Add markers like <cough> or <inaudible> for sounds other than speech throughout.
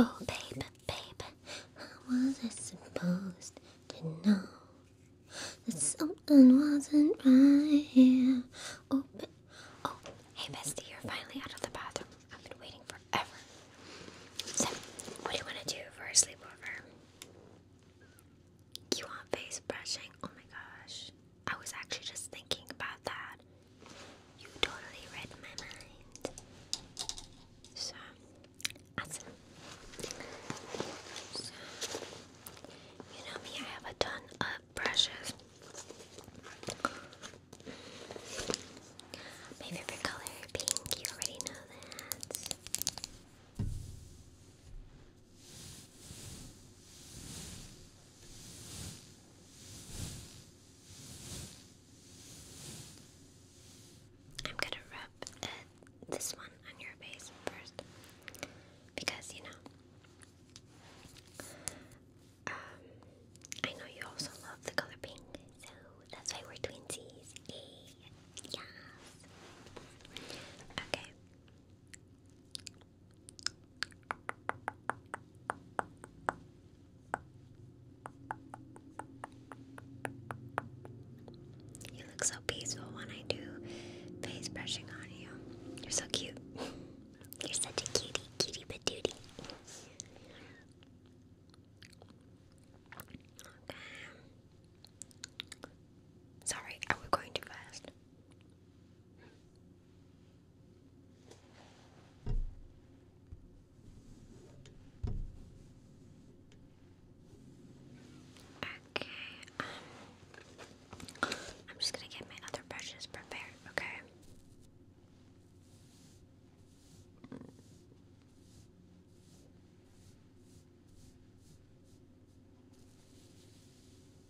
Oh, babe, babe, how was I supposed to know that something wasn't right here? Oh, oh, hey, bestie, you're finally out of the bathroom. I've been waiting forever. So, what do you want to do for a sleepover? You want face brushing? Oh my gosh. I was actually just thinking about that. You totally read my mind. So, awesome. So, you know me, I have a ton of brushes. My favorite color, pink, you already know that. I'm gonna rub this one on your face first because you know um, I know you also love the color pink, so that's why we're twinsies. Yay! Okay. You look so peaceful when I do face brushing on you. You're so cute. <laughs> You're such a cutie, cutie patootie. Okay. Sorry, I was going too fast. Okay, um, I'm just gonna get my other brushes prepared, okay?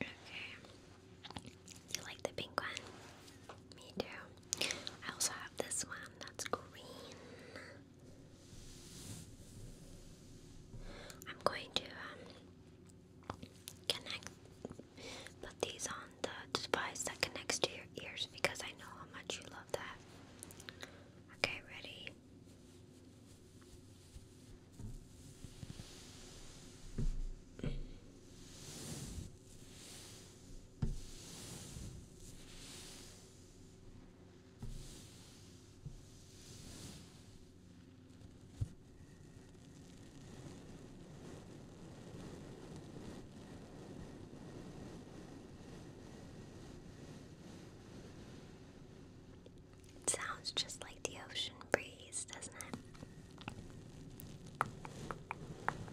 Okay. You like the pink one? Me too. I also have this one that's green. I'm going to um, connect, put these on the device that connects to your ears because I know how much you love that. Okay, ready? sounds just like the ocean breeze, doesn't it?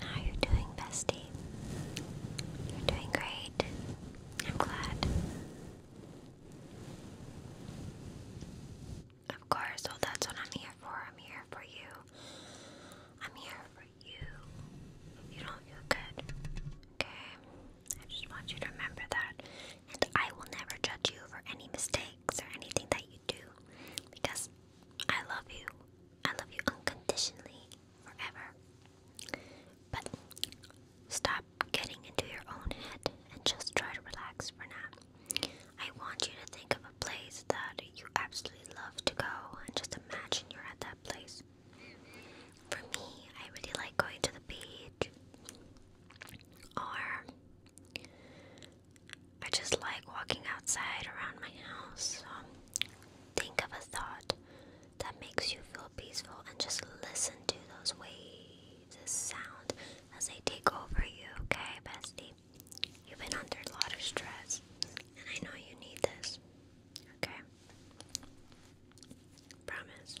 How you're doing, bestie? You're doing great. I'm glad. Of course, well that's what I'm here for. I'm here for you. I'm here for you. You don't feel good. Okay? I just want you to remember that. And I will never judge you for any mistakes or anything that you do. Because I love you. I love you unconditionally forever. But stop getting into your own head and just try to relax for now. I want you to think of a place that you absolutely love to go and just imagine you're at that place. For me, I really like going to the beach or I just like walking outside around my house. think of a thought that makes you feel peaceful and just listen to those waves, sound as they take over you, okay, bestie? You've been under a lot of stress, and I know you need this, okay? Promise.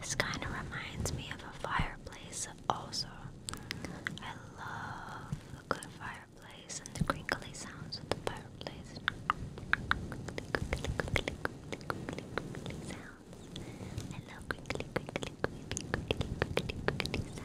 This kind of reminds me of a fireplace, also. I love good fireplace and the crinkly sounds of the fireplace. Crinkly, crinkly, crinkly, crinkly, crinkly, crinkly, crinkly sounds.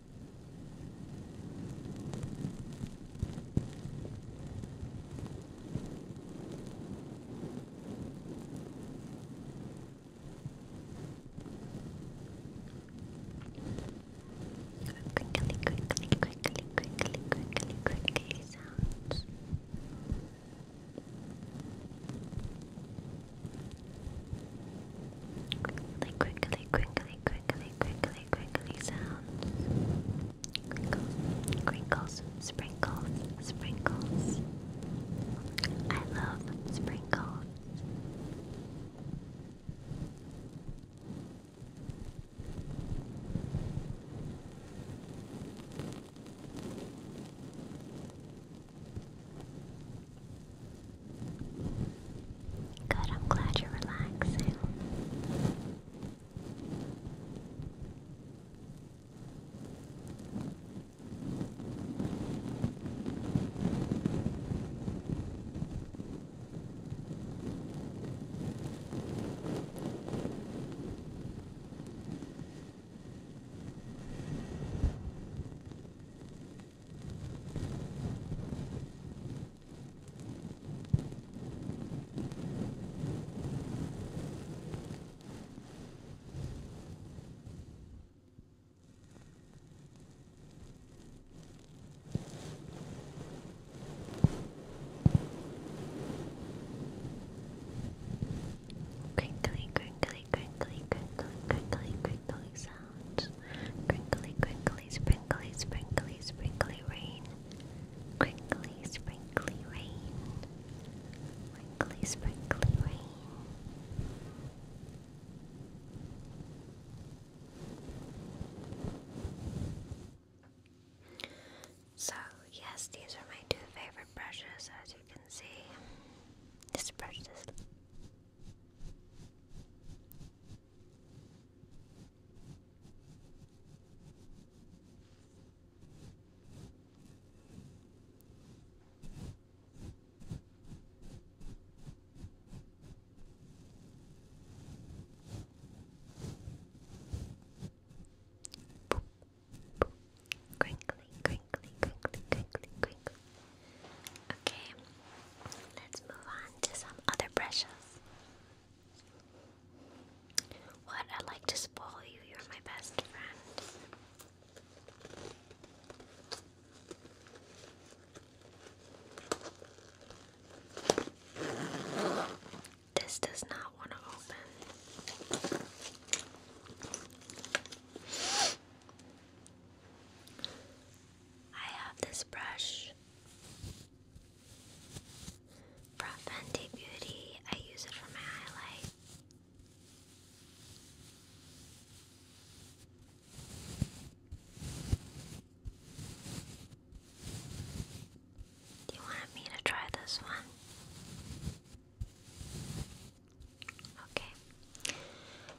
Quickly, quickly, quickly, quickly, quickly, quickly sounds. Quickly, quickly, quickly, crinkly, crinkly, crinkly, sounds. Crinkles, sprinkles, sprinkles. I love sprinkles. Good, I'm glad you're relaxing. crinkly crinkly crinkly crinkly crinkly crinkly crinkly sprinkly, sprinkly, sprinkly sprinkly sprinkly So, yes, these are my two favorite brushes, as you can see. This brush is Crinkly, crinkly, crinkly, crinkly, crinkly. Okay, let's move on to some other brushes. What? I like to spoil you. You're my best friend. This does not want to open. I have this brush brush. Beauty, I use it for my highlight. Do you want me to try this one? Okay.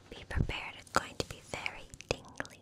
Be prepared, it's going to be very tingly.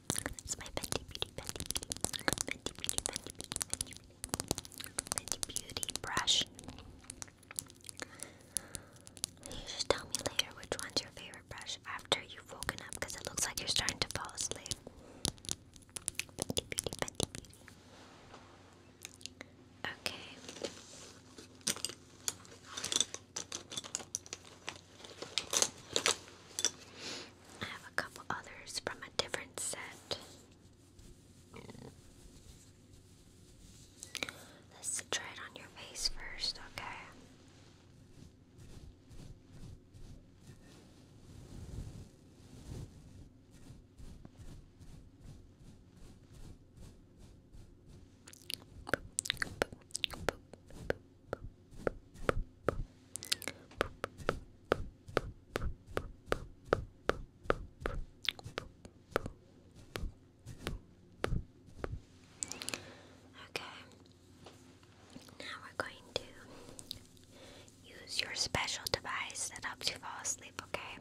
Beauty. It's my Fenty Beauty, Fenty Beauty, Fenty Beauty, Fenty Beauty, Fenty Beauty, brush. You just tell me later which one's your favorite brush after you've woken up, it looks like you're starting to fall asleep. Fenty Beauty, Fenty Beauty. Okay. I have a couple others from a different set. Let's try it on your face first, okay? Okay. Now we're going to use your special device that helps you fall asleep, okay?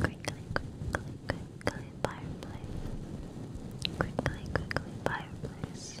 Quickly, quickly, quickly, fireplace. Quickly, quickly, fireplace.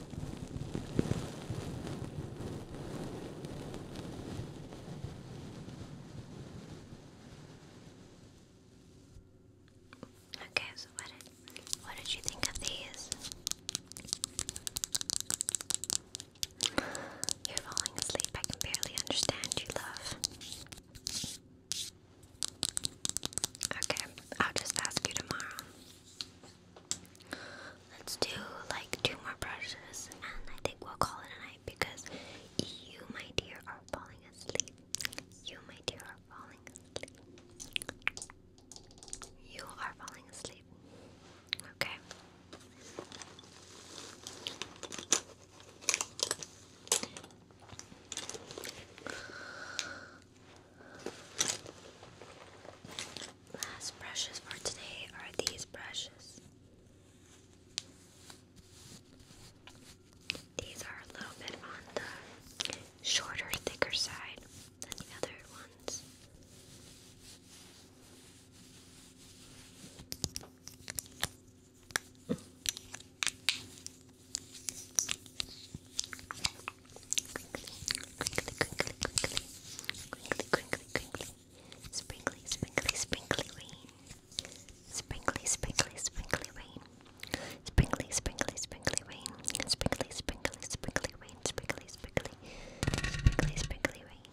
Okay, so what did you think of these? You're falling asleep. I can barely understand you, love. Okay, I'll just ask you tomorrow. Let's do like two more brushes and I think we'll call it a night because you, my dear, are falling asleep. You, my dear, are falling asleep. You are falling asleep. Okay last brushes for today are these brushes. These are a little bit on the shorter, thicker side than the other ones. Sprinkly, sprinkly, sprinkly rain. Sprinkly, sprinkly, sprinkly rain. Sprinkly, sprinkly, sprinkly rain. Sprinkly, sprinkly, sprinkly rain. Sprinkly, sprinkly, sprinkly, sprinkly rain.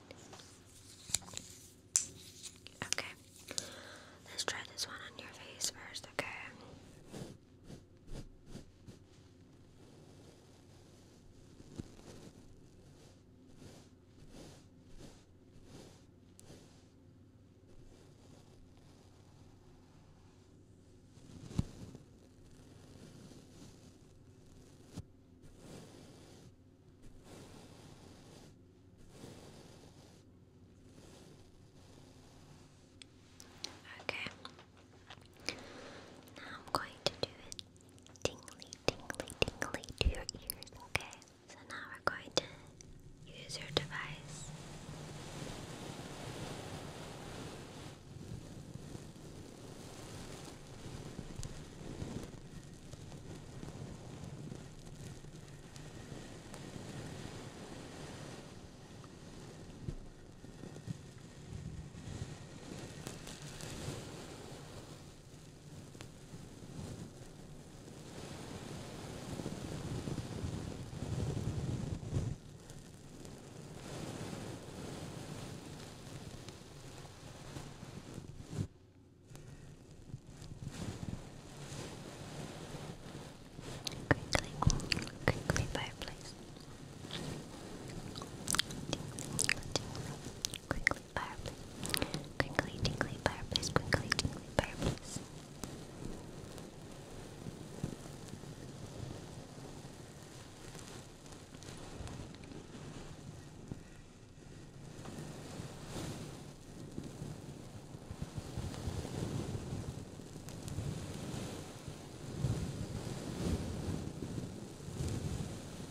Okay. Let's try this one on your face first, okay? Okay. Okay. Now I'm going to do it tingly, tingly, tingly to your ears, okay? So now we're going to use your device. Quickly, quickly fireplace. Quickly, fireplace. Crinkly, fireplace, crinkly, tingly fireplace.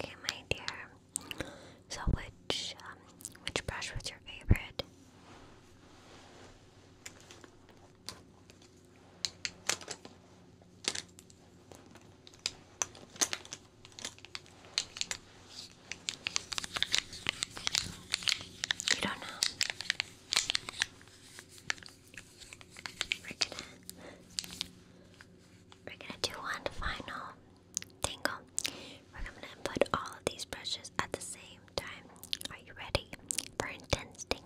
Okay, my dear. So, which um, which brush was your favorite? You don't know. We're gonna do one final tingle. We're gonna put all of these brushes at the same time. Are you ready for intense tingles?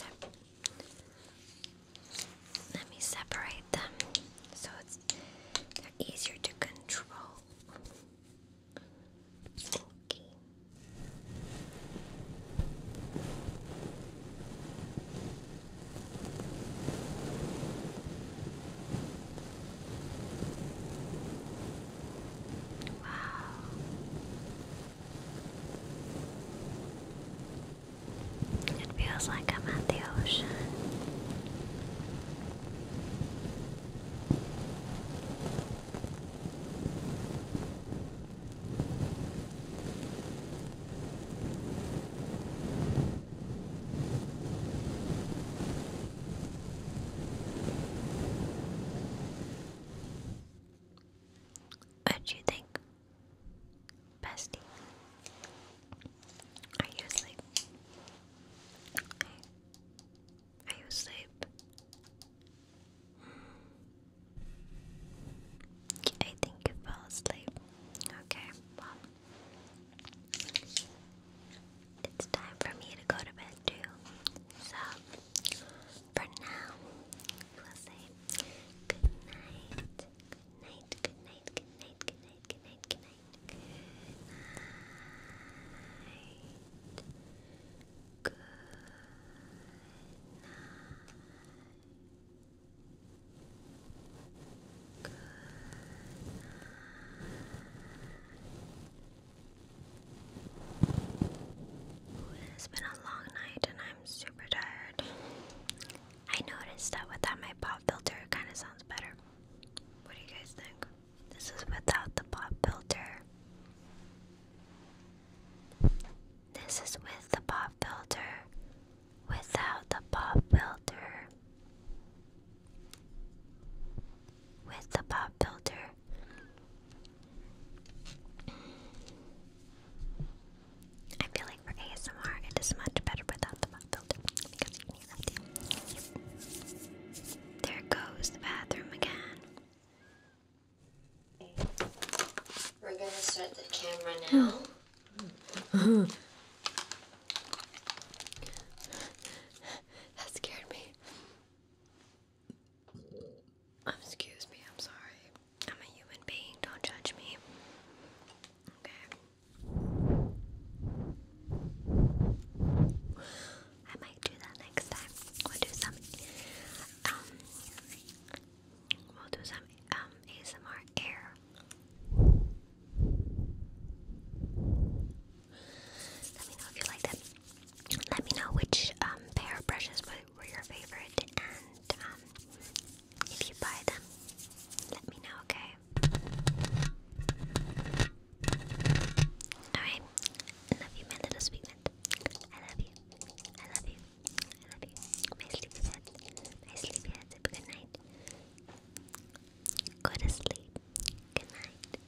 Let me let me separate them so it's they're easier to control. Wow. It feels like I'm at the ocean. What do you think, bestie? Are you asleep? Are you asleep? I think you fell asleep. Okay, well, it's time for me to go to bed too. So, for now, we'll say good night, good night, good night, good night, good night, good night, good night, night. Good night. Good night. It's been a long night and I'm super tired. I noticed that without my pop filter, it kind of sounds better. What do you guys think? This is without the pop filter. This is with the pop filter. Without the pop filter. With the pop filter. I feel like for ASMR it is much better without the pop filter there goes the bathroom again. We're gonna start the camera now. <laughs> that scared me. Um, excuse me, I'm sorry. I'm a human being, don't judge me. Okay. I might do that next time. We'll do some um, we'll do some um ASMR air. Let me know if you like that. Let me know which um pair of brushes were your favorite and um if you buy them, let me know, okay? Alright. I love you, my little sweet mint. I love you. I love you. I love you. My sleepy head. My sleepy head. Good night. Go to sleep. Good night.